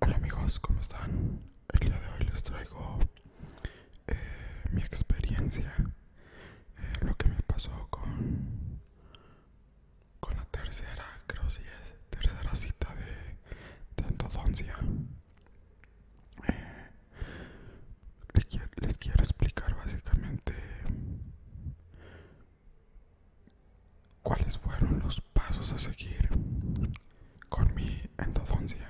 Hola amigos, ¿cómo están? El día de hoy les traigo eh, mi experiencia, eh, lo que me pasó con, con la tercera, creo es, tercera cita de, Tantodoncia les quiero, explicar básicamente cuáles fueron los pasos a seguir con mi endodoncia.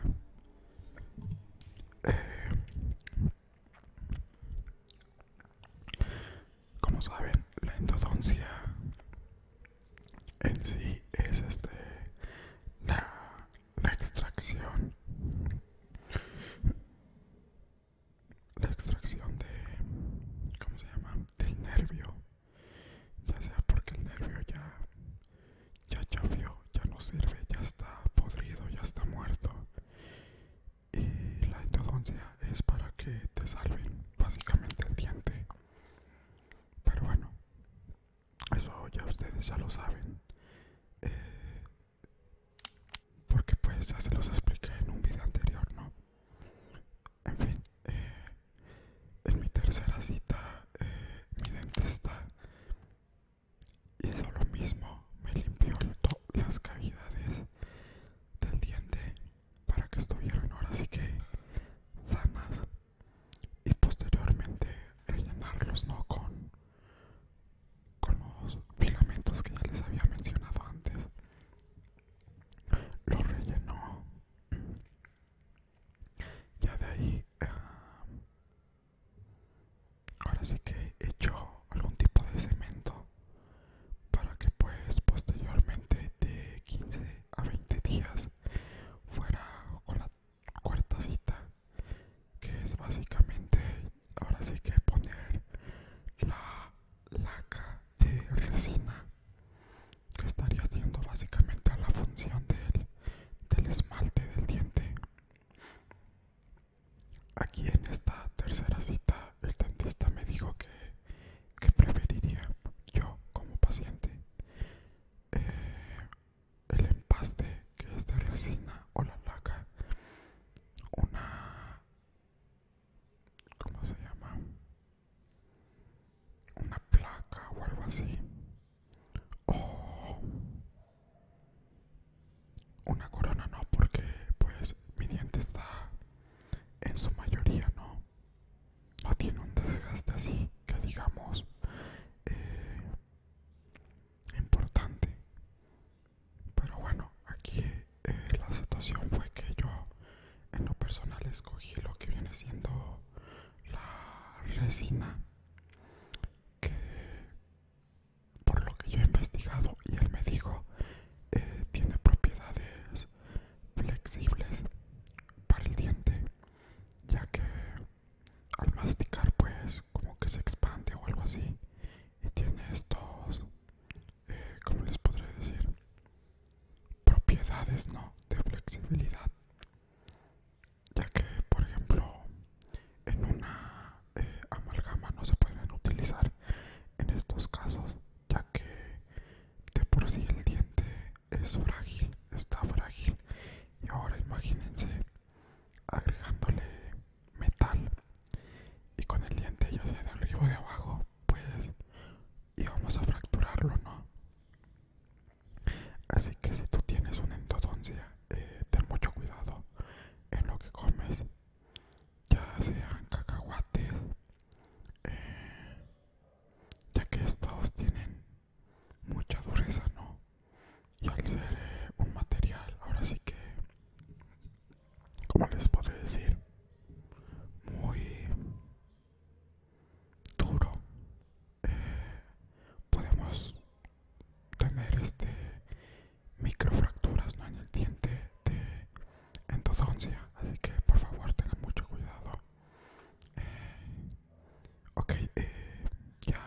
Eh, como saben, la endodoncia en sí es este la, la extracción. La extracción de. ¿Cómo se llama? Del nervio. Ya sea porque el nervio ya. Ya chafió, ya no sirve, ya está podrido, ya está muerto. Y la endodoncia es para que te salven, básicamente el diente. Pero bueno, eso ya ustedes ya lo saben eh, porque pues ya se los expliqué en un video anterior no en fin eh, en mi tercera cita eh, mi dentista eso lo mismo me limpió las cavidades del diente para que estuvieran ahora sí que sanas y posteriormente rellenarlos no con con los filamentos que ya les había mencionado antes lo rellenó ya de ahí ah, ahora sí que hecho algún tipo de cemento para que pues posteriormente de 15 a 20 días fuera con la cuarta cita que es básicamente ahora sí que poner la laca de resina que estaría haciendo básicamente la función del, del esmalte del diente aquí en esta tercera cita el dentista me dijo que, que preferiría yo como paciente eh, el empaste que es de resina o la laca una ¿cómo se llama? una placa o algo así o una corona no porque pues mi diente está en su mayoría no no tiene un desgaste así que digamos eh, importante pero bueno aquí eh, la situación fue que yo en lo personal escogí lo que viene siendo la resina que por lo que yo he investigado y él me dijo eh, tiene propiedades flexibles para el diente ya que al masticar pues como que se expande o algo así y tiene estos eh, como les podré decir propiedades no de flexibilidad ya que por ejemplo en una eh, amalgama no se pueden utilizar en estos casos ya que de por sí el diente es frágil, está frágil. Y ahora imagínense agregándole metal y con el diente ya sea de arriba o de abajo, pues íbamos a fracturarlo, ¿no? Así que si tú tienes una endodoncia, eh, ten mucho cuidado en lo que comes, ya sean cacahuates, eh, ya que estos tienen mucha dureza, ¿no? Y al ser eh, un material, ahora sí que, como les podré decir, muy duro, eh, podemos tener este microfracturas ¿no? en el diente de endodoncia, así que por favor tengan mucho cuidado eh, ok, eh, ya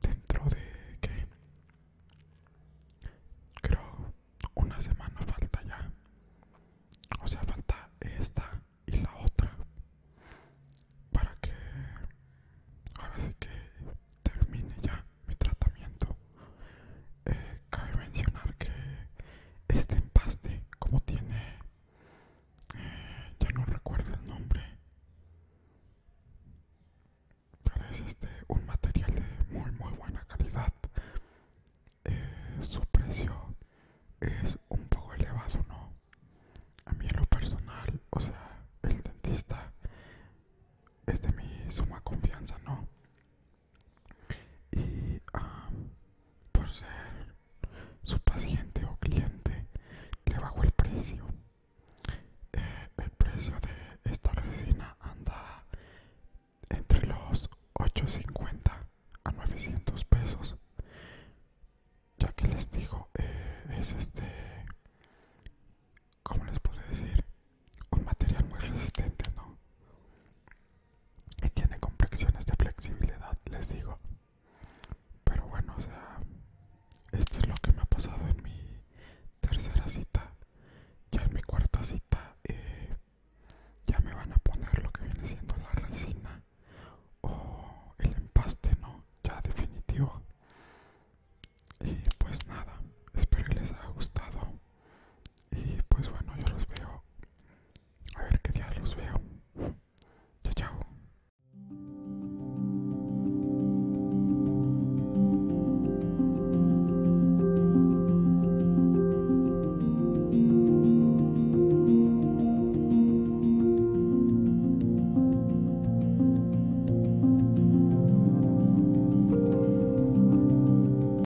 dentro de que creo una semana falta ya. O sea, falta esta y la otra para que ahora sí que termine ya mi tratamiento. Eh, cabe mencionar que este empaste, como tiene ya no recuerdo el nombre pero es este un material de muy muy buena calidad eh, su precio es un poco elevado no a mí en lo personal o sea el dentista es de mi suma confianza no y por ser su paciente o cliente le bajó el precio eh, el precio de esta resina anda entre los 850 a 900 pesos ya que les digo eh, es este como les puedo decir un material muy resistente no y tiene complexiones de flexibilidad, les digo. Pero bueno, o sea, esto es lo que me ha pasado en mi tercera cita. Ya en mi cuarta cita eh, ya me van a poner lo que viene siendo la resina o el empaste, ¿no? Ya definitivo. Y pues nada, espero que les haya gustado. Y pues bueno, yo los veo a ver qué diablos veo. Chao, chao.